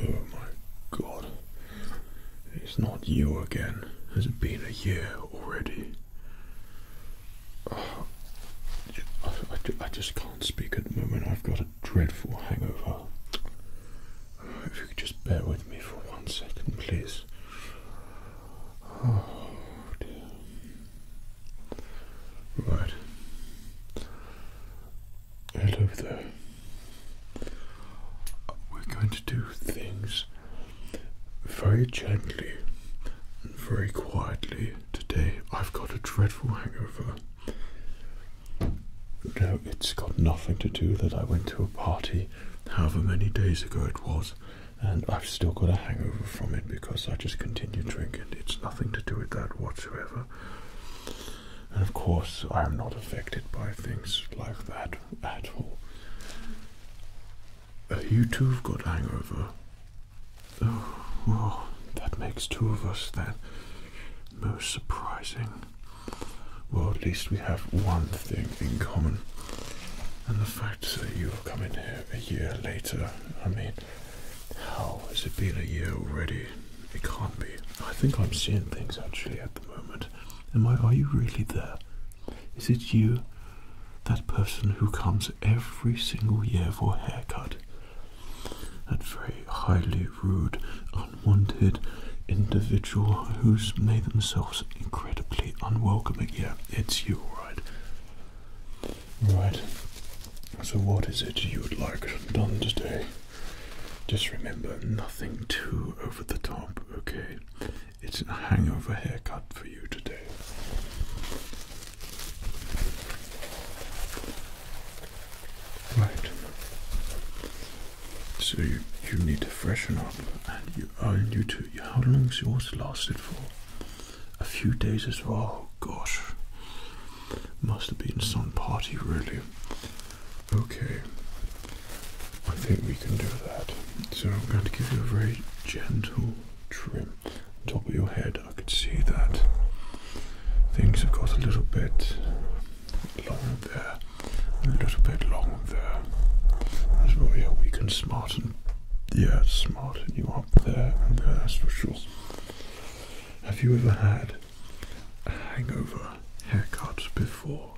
Oh my god. It's not you again. it Has been a year already? Oh, I, just can't speak at the moment. I've got a dreadful hangover. If you could just bear with me for one second, please. Oh dear. Right. Hello We're going to do things very gently and very quietly today. I've got a dreadful hangover. No, it's got nothing to do that I went to a party however many days ago it was, and I've still got a hangover from it because I just continued drinking. It's nothing to do with that whatsoever. And of course, I am not affected by things like that at all. Uh, you too have got a hangover. Oh, that makes two of us then. Most surprising. Well, at least we have one thing in common. And the fact that you have come in here a year later, I mean, how has it been a year already? It can't be. I think I'm seeing things actually at the moment. Am I, are you really there? Is it you, that person who comes every single year for a haircut? that very highly rude, unwanted individual who's made themselves incredibly unwelcoming. Yeah, it's you, right? Right. So what is it you would like done today? Just remember, nothing too over the top, okay? It's a hangover haircut for you today. Right. So you, you need to freshen up, and you oh you too. How long's lasted for? A few days as well. Oh, gosh, must have been some party really. Okay, I think we can do that. So I'm going to give you a very gentle trim top of your head, I could see that things have got a little bit long there, a little bit long there. That's right, yeah, we can smarten, yeah, smarten you up there, and there, that's for sure. Have you ever had a hangover haircut before?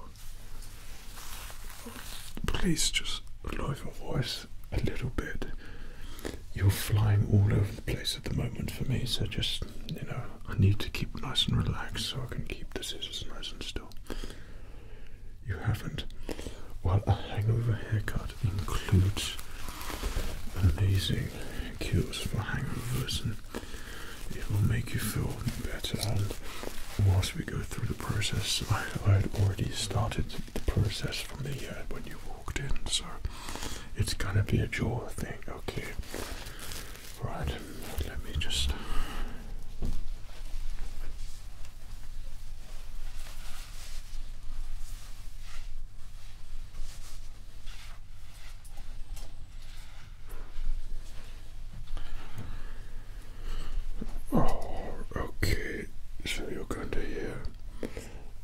Please just lower your voice a little bit. You're flying all over place at the moment for me, so just, you know, I need to keep nice and relaxed so I can keep the scissors nice and still. You haven't? Well, a hangover haircut includes amazing cures for hangovers and it will make you feel better. And whilst we go through the process, I, had already started the process from the year when you so it's gonna be a jaw thing. Okay, right. Let me just. Oh, okay. So you're going hear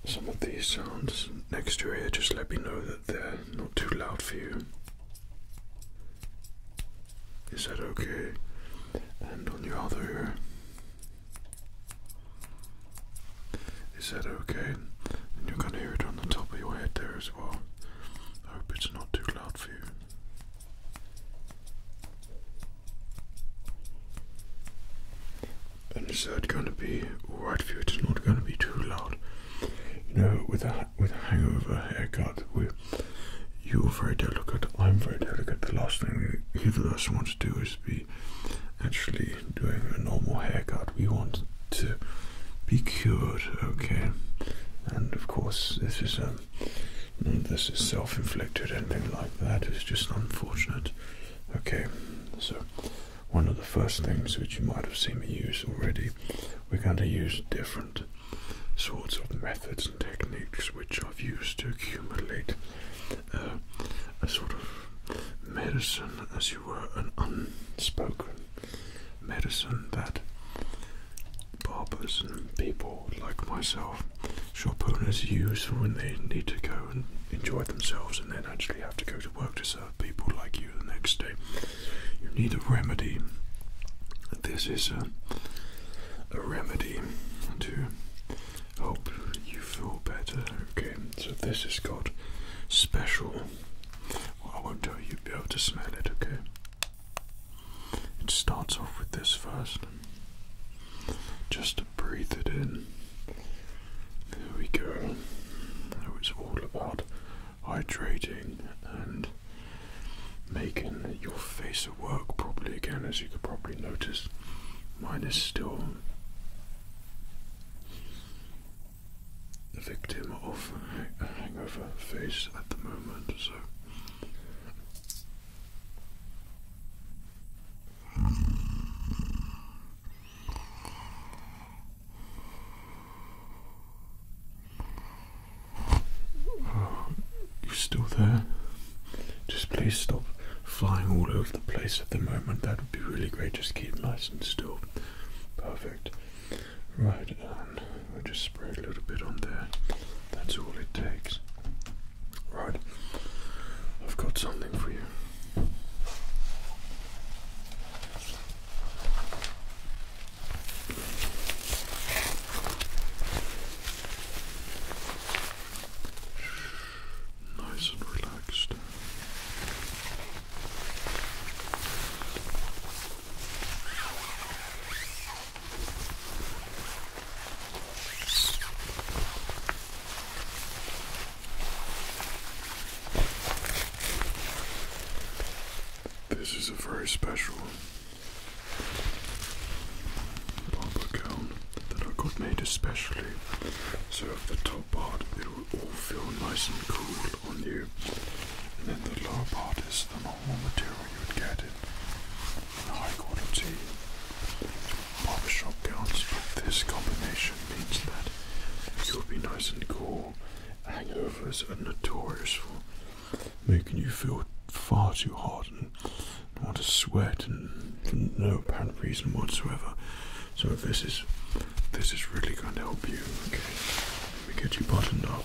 some of these sounds next to your ear. just let me know that they're not too loud for you. Is that okay? And on your other ear. Is that okay? And you can hear it on the top of your head there as well. I hope it's not too loud for you. And is that going to be alright for you? It's not going to be too loud. You know, with a, with a hangover haircut, we, you're very delicate, I'm very delicate. The last thing we, either of us want to do is be actually doing a normal haircut. We want to be cured, okay? And of course, this is um, this is self-inflicted, anything like that is just unfortunate. Okay, so one of the first things which you might have seen me use already. We're going to use different sorts of methods and techniques which I've used to accumulate uh, a sort of medicine, as you were, an unspoken medicine that barbers and people like myself, shop owners, use when they need to go and enjoy themselves and then actually have to go to work to people like you the next day. You need a remedy. This is a, remedy to help you feel better. Okay, so this is got special. I won't tell you, you'll be able to smell it, okay? It starts off with this first. Just to breathe it in there we go. Now it's all about hydrating and making your face work properly again, as you could probably notice. Mine is still the victim of a hangover face at the moment, so Oh, you still there? Just please stop flying all over the place at the moment. That would be really great. Just keep nice and still. Perfect. Right, and um, we just spray a little bit on there. That's all it takes. Right, I've got something for you. Nice and relaxed. This is a very special barber gown that I got made especially so the top part it will all feel nice and cool on you and then the lower part is the normal material you would get in high quality barbershop gowns, but this combination means that you'll be nice and cool. Hangovers are notorious for making you feel far too hot and want to sweat for no apparent reason whatsoever. So this is this is really going to help you. Okay, let me get you buttoned up.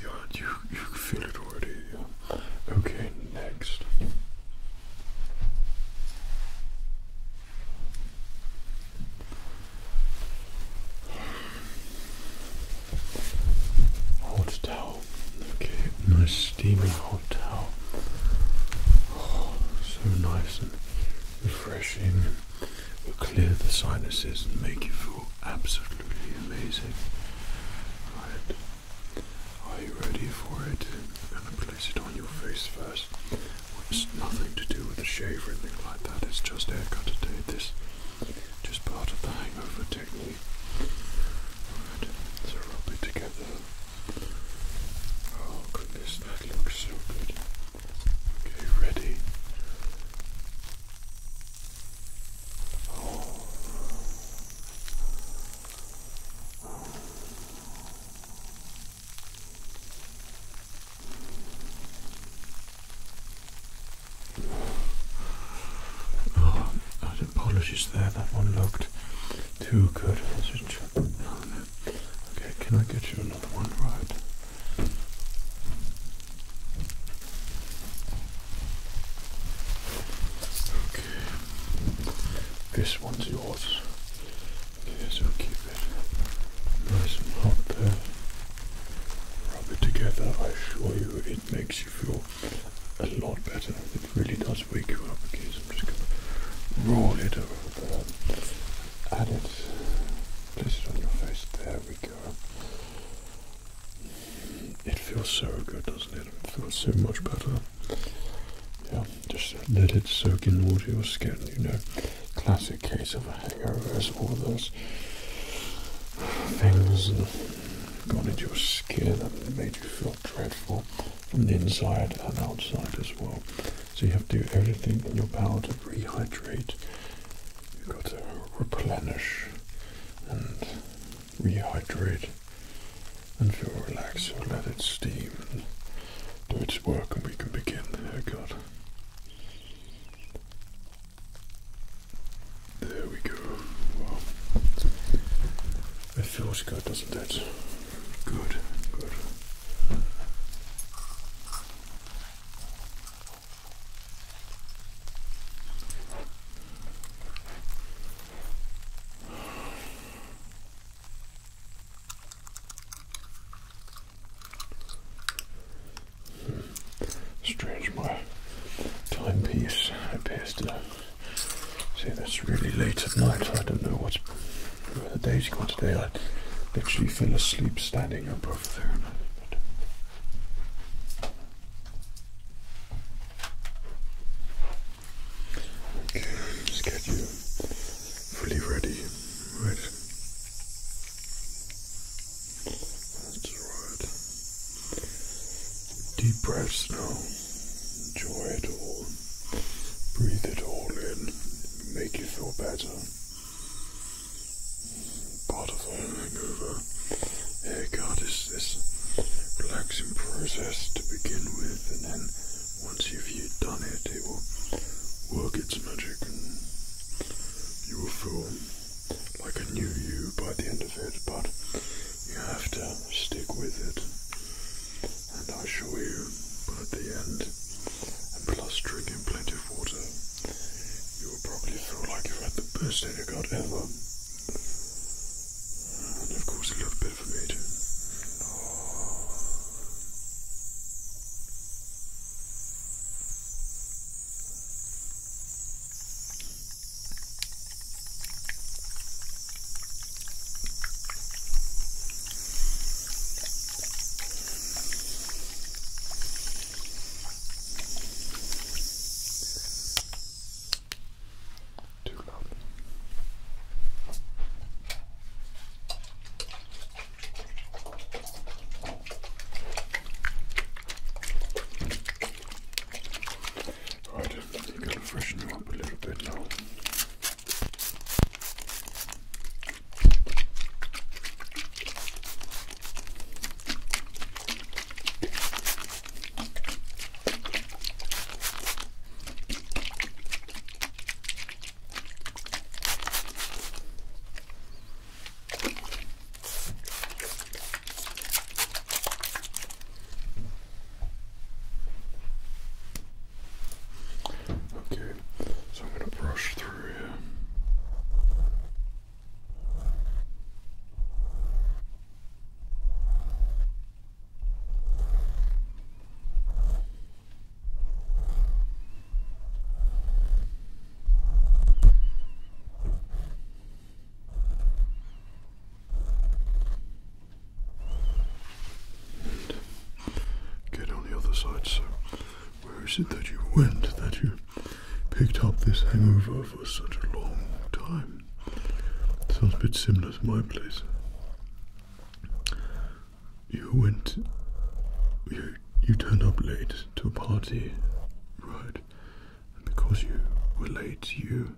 Yeah, you you feel it already. Okay, next. Hold down Okay, nice steaming hot towel. Oh, so nice and refreshing. Will clear the sinuses and make you feel absolutely amazing. Right. Are you ready for it? I'm gonna place it on your face first. it's nothing to do with a shave or anything like that. It's just haircut today. This, just part of the hangover technique. Right, so rub it together. Oh goodness, that looks so good. Okay, ready. Oh. Oh. Oh, is there, that one looked too good, Okay, can I get you another one, right? Okay, this one's yours. Okay, so keep it nice and hot there. Rub it together, I assure you it makes you feel a lot better. It really does wake you up. Okay, I'm just going to roll it over there. Add it. Place it on your face. There we go. It feels so good, doesn't it? It feels so much better. Yeah, just let it soak in all your skin, you know. Classic case of a hangover is all those things gone into your skin and made you feel dreadful from the inside and outside as well. So you have to do everything in your power to rehydrate. You've got to replenish and rehydrate and feel relaxed. So let it steam and do its work and we can begin the oh, haircut. There we go. Wow. It feels doesn't that Good, good. Hmm. Strange, my timepiece appears to See, that's really late at night. I don't know what the days has gone today. I literally fell asleep standing up over there. Okay, you fully ready. Right. That's right. Deep breaths now. Enjoy it all. Breathe it all in. Make you feel better. Part of the hangover haircut is this relaxing process to begin with, and then once you've done it, it will work its magic, and you will feel like a new you by the end of it. But you have to stick with it, and I assure you, by the end, and plus drinking plenty of water, you will probably feel like you've had the best haircut ever. And of course, a little bit for me too loud. Right, you gotta freshen you up a little bit now. Okay, so I'm going to brush through here get on the other side. So, where is it that you went that you picked up this hangover for such a long time? Sounds a bit similar to my place. You went. You, you turned up late to a party, right? because you were late, you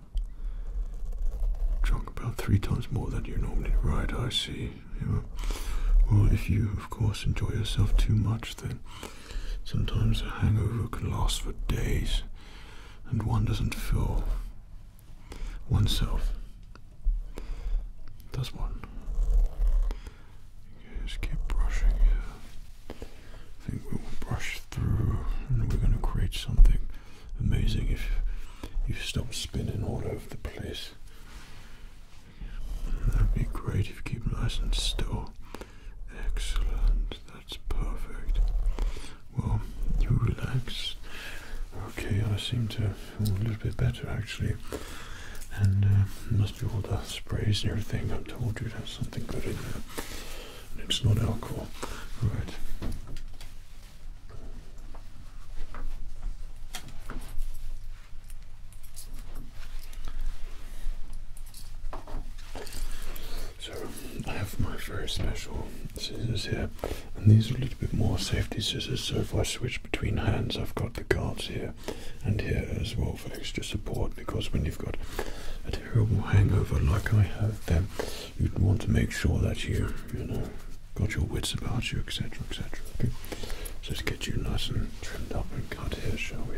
drunk about three times more than you normally ride, I see. Well, if you, of course, enjoy yourself too much, then sometimes a hangover can last for days and one doesn't feel oneself. Does one? just keep brushing I think we will brush through and we're going to create something amazing if you stop spinning all over the place. That'd be great if you keep nice and still. Excellent, that's perfect. Well, you relax. Okay, I seem to feel a little bit better actually. And uh, must be all the sprays and everything I told you to have something good in there. It's not alcohol. Right. So I have my very special scissors here, and these are a little bit more safety scissors. So if I switch between hands, I've got the cards here and here as well for extra support. Because when you've got a terrible hangover like I have, then you'd want to make sure that you, you know, got your wits about you, etc., etc. Okay, just get you nice and trimmed up and cut hair, shall we?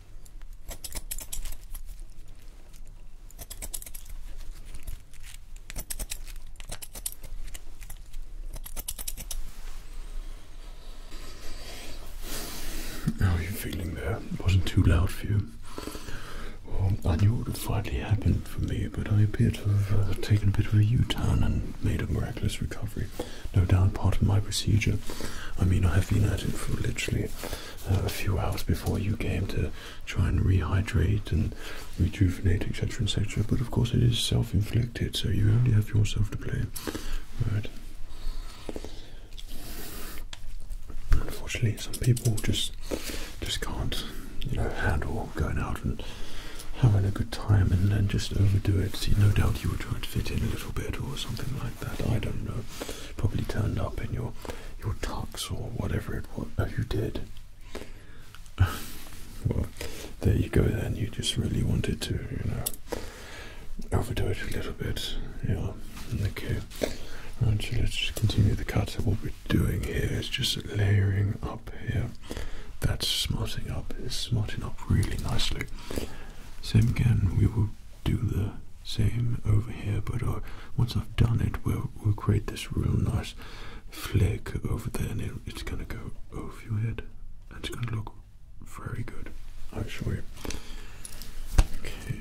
How are you feeling there? It wasn't too loud for you. I knew it would finally happen for me, but I appear to have uh, taken a bit of a U-turn and made a miraculous recovery. No doubt part of my procedure. I mean, I have been at it for literally a few hours before you came to try and rehydrate and rejuvenate, etc., etc. But of course, it is self inflicted, so you only have yourself to blame. Right. Unfortunately, some people just just can't, you know, handle going out and having a good time and then just overdo it. See, no doubt you were trying to fit in a little bit or something like that. I don't know probably turned up in your your tux or whatever it was uh, you did. well, there you go then. You just really wanted to, you know, overdo it a little bit. Yeah. Okay. Right, so let's continue the cut. what we're doing here is just layering up here. That's smarting up. It's smarting up really nicely. Same again. We will do the same over here, but uh, once I've done it, we'll, create this real nice flick over there, and it's going to go over your head. And it's going to look very good, I'll show you. Okay.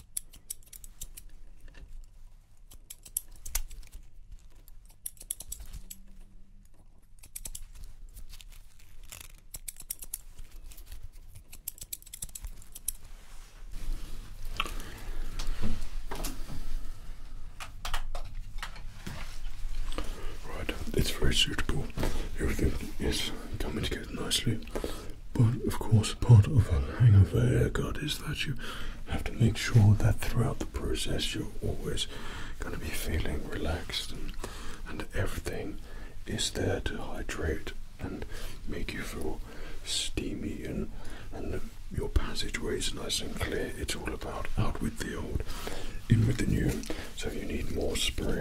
Right, it's very suitable. Everything is coming together nicely. But of course, part of a hangover haircut is that you have to make sure that throughout the process you're always going to be feeling relaxed and, and everything is there to hydrate and make you feel steamy and, and your is nice and clear. It's all about out with the old, in with the new. So you need more spray.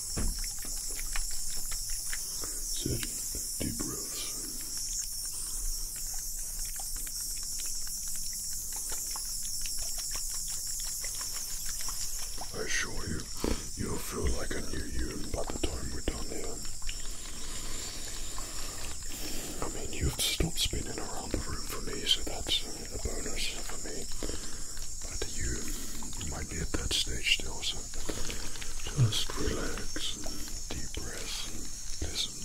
Seven deep breaths. I assure you, you'll feel like a new you by the time we're done here. I mean, you've stopped spinning around the room for me, so that's a bonus for me. But you, you might be at that stage still, so just relax and deep breath listen.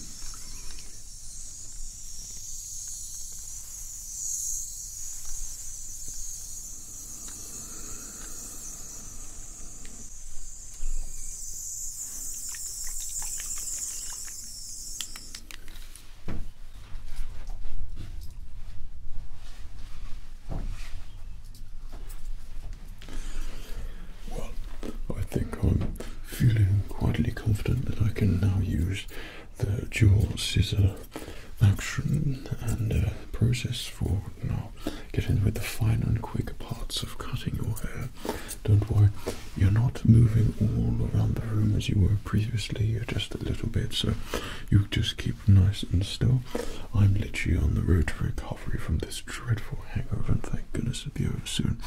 Well, I think I'm feeling quietly confident that I can now use the dual scissor action and uh, process for now getting with the finer, and quick parts of cutting your hair. Don't worry, you're not moving all around the room as you were previously, just a little bit, so you just keep nice and still. I'm literally on the road to recovery from this dreadful hangover, and thank goodness it'll be over soon.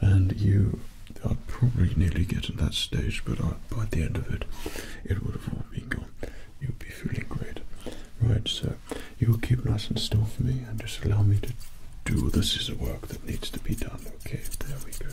And you, I'd probably nearly get to that stage, but by the end of it, it would have all been gone. you would be feeling great. Right, so you'll keep nice and still for me and just allow me to do the scissor work that needs to be done. Okay, there we go.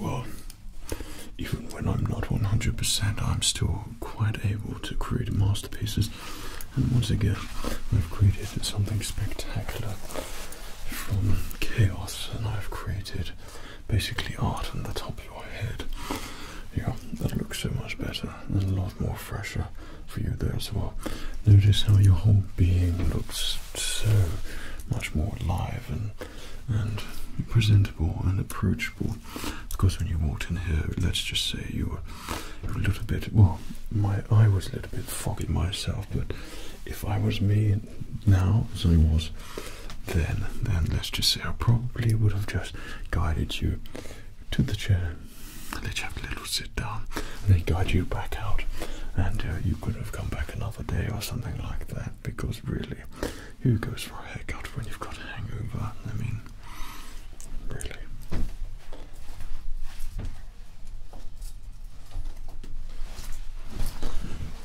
Well, even when I'm not 100%, I'm still quite able to create masterpieces. And once again, I've created something spectacular from chaos, and I've created basically art on the top of your head. Yeah, that looks so much better and a lot more fresher for you there as well. Notice how your whole being looks so much more alive and and presentable and approachable. Of course, when you walked in here, let's just say you were a little bit. Well, my I was a little bit foggy myself, but if I was me now as I was then, then let's just say I probably would have just guided you to the chair let you have a little sit down and they guide you back out. And uh, you could have come back another day or something like that because really, who goes for a haircut when you've got a hangover? I mean, really.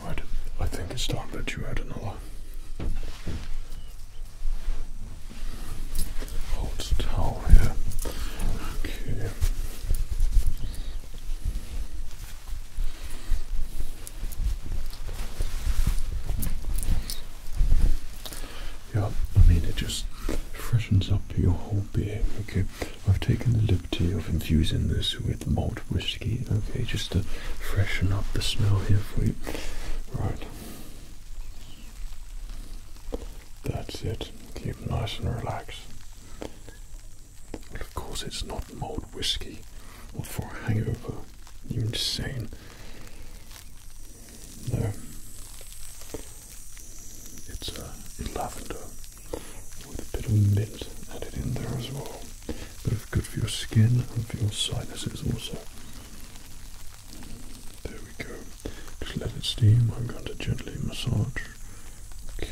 Right, I think it's time that you had another. Hold towel here. Okay. Yeah, I mean, it just freshens up your whole being. Okay, I've taken the liberty of infusing this with malt whiskey. Okay, just to freshen up the smell here for you. Right. That's it. Keep nice and relaxed. of course, it's not malt whiskey or for hangover. You're insane. No. Uh, it's lavender with a bit of mint added in there as well. But it's good for your skin and for your sinuses also. There we go. Just let it steam. I'm going to gently massage. Okay.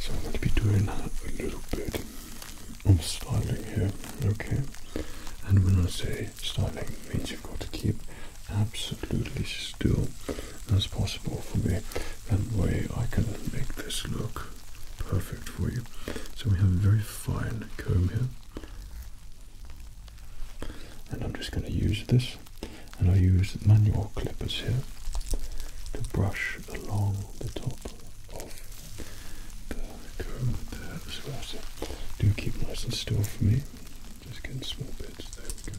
So I'm going to be doing a little bit of styling here, okay? And when I say styling, it means you've got to keep absolutely still as possible for me. That way I can make this look perfect for you. So we have a very fine comb here and I'm just going to use this and I'll use manual clippers here to brush along the top of the comb there as well. So do keep nice and still for me. Just getting small bits, there we go.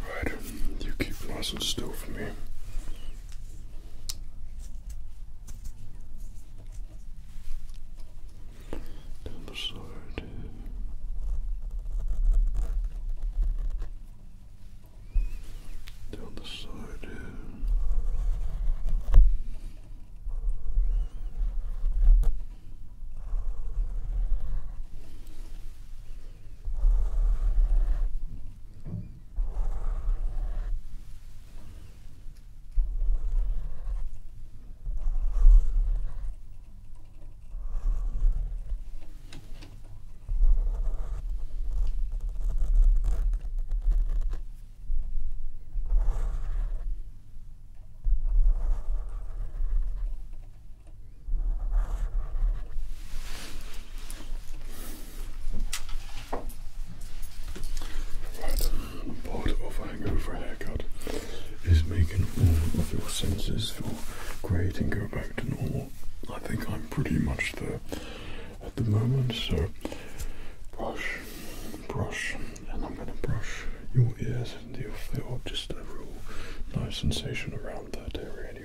Right, you keep nice and still for me. Down the side down the side here. Right, part of a hangover haircut is making all of your senses great and go back to normal. I think I'm pretty much there at the moment, so brush, brush, and I'm going to brush your ears and you'll feel just a real nice sensation around that area anyway.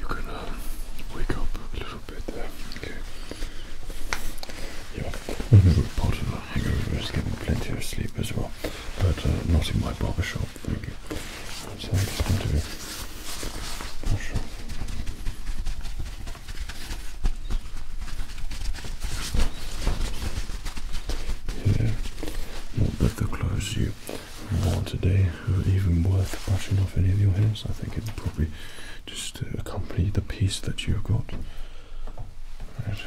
You can um, wake up a little bit Yeah, well, no pot and hangover is getting plenty of sleep as well, but uh, not in my barber shop, thank you. Yeah, not that the clothes you wore today are even worth brushing off any of your hairs. I think it'd probably just uh, accompany the piece that you've got. Right,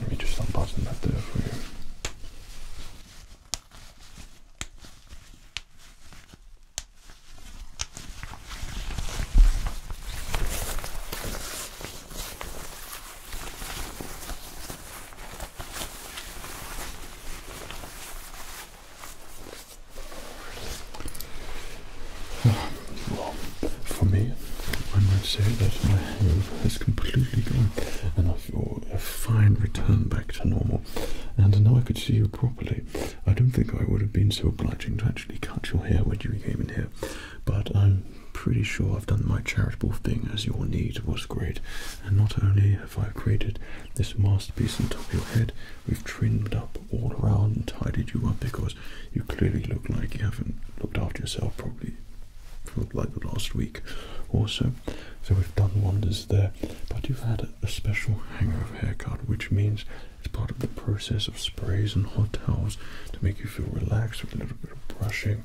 let me just unbutton that there for you. Well, for me, I might say that my hangover has completely gone and I feel a fine return back to normal. And now I could see you properly. I don't think I would have been so obliging to actually cut your hair when you came in here, but I'm pretty sure I've done my charitable thing as your need was great. And not only have I created this masterpiece on top of your head, we've trimmed up all around and tidied you up because you clearly look like you haven't looked after yourself probably for like the last week or so. So we've done wonders there. But you've had a special hangover haircut, which means it's part of the process of sprays and hot towels to make you feel relaxed with a little bit of brushing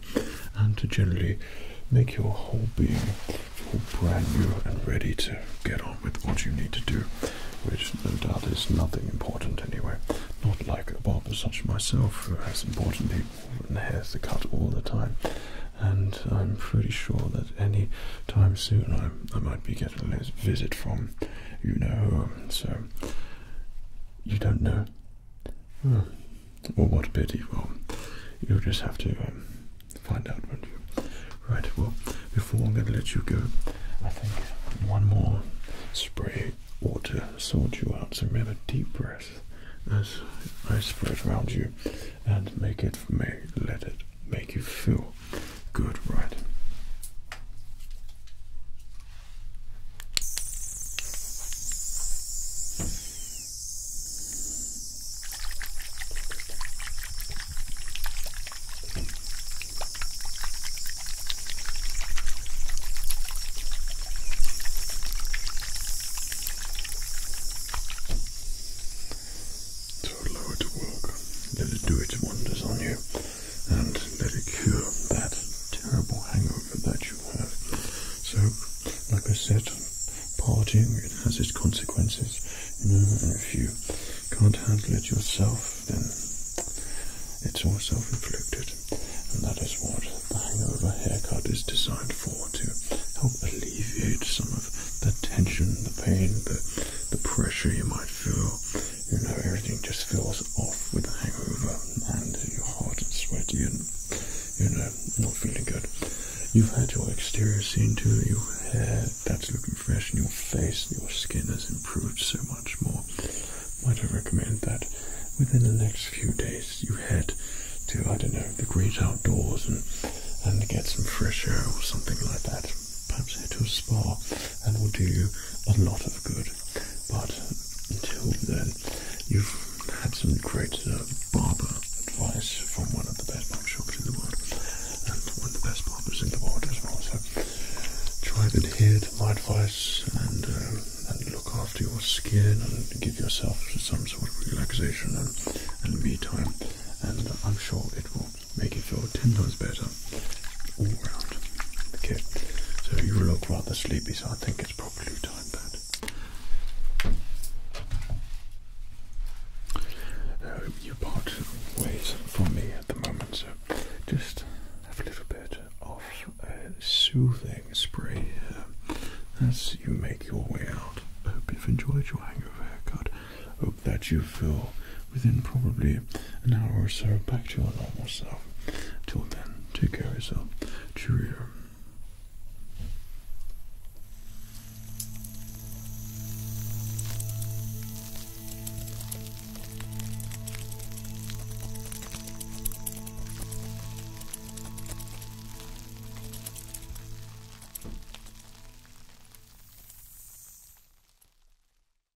and to generally make your whole being feel brand new and ready to get on with what you need to do, which no doubt is nothing important anyway. Not like a barber such as myself who has important people and hairs to cut all the time. And I'm pretty sure that any time soon I might be getting a visit from you know. So you don't know, oh. or what pity? Well, you'll just have to um, find out, won't you? Right. Well, before I'm going to let you go, I think one more spray water, to sort you out. So a deep breath as I spray it around you, and make it may let it make you feel Good, right. So allow it to work, let it do its wonders on you and let it cure that terrible hangover that you have. So, like I said, partying it has its consequences, you know, if you can't handle it yourself, then it's all self-inflicted, and that is what the hangover haircut is designed for to help alleviate some of the tension, the pain, the the pressure you might feel you know, everything just feels off with the hangover and you're hot and sweaty and, you know, not feeling good. You've had your exterior seen to, your hair, that's looking fresh, in your face, your skin has improved so much more. Might I recommend that within the next few days you head to, I don't know, the great outdoors and, and get some fresh air or something like that perhaps head to a spa and will do you a lot of good. But until then, you've had some great uh, barber advice from one of the best barber shops in the world and one of the best barbers in the world as well. So try and adhere to my advice and, uh, and look after your skin and give yourself some sort of relaxation and, and me time. And I'm sure it will make you feel ten times better Okay, so you look rather sleepy, so I think it's probably time that uh, you part ways from me at the moment. So just have a little bit of uh, soothing spray here as you make your way out. Hope you've enjoyed your hangover haircut. Hope that you feel within probably an hour or so back to your normal self. Till then, take care of yourself. Cheerio.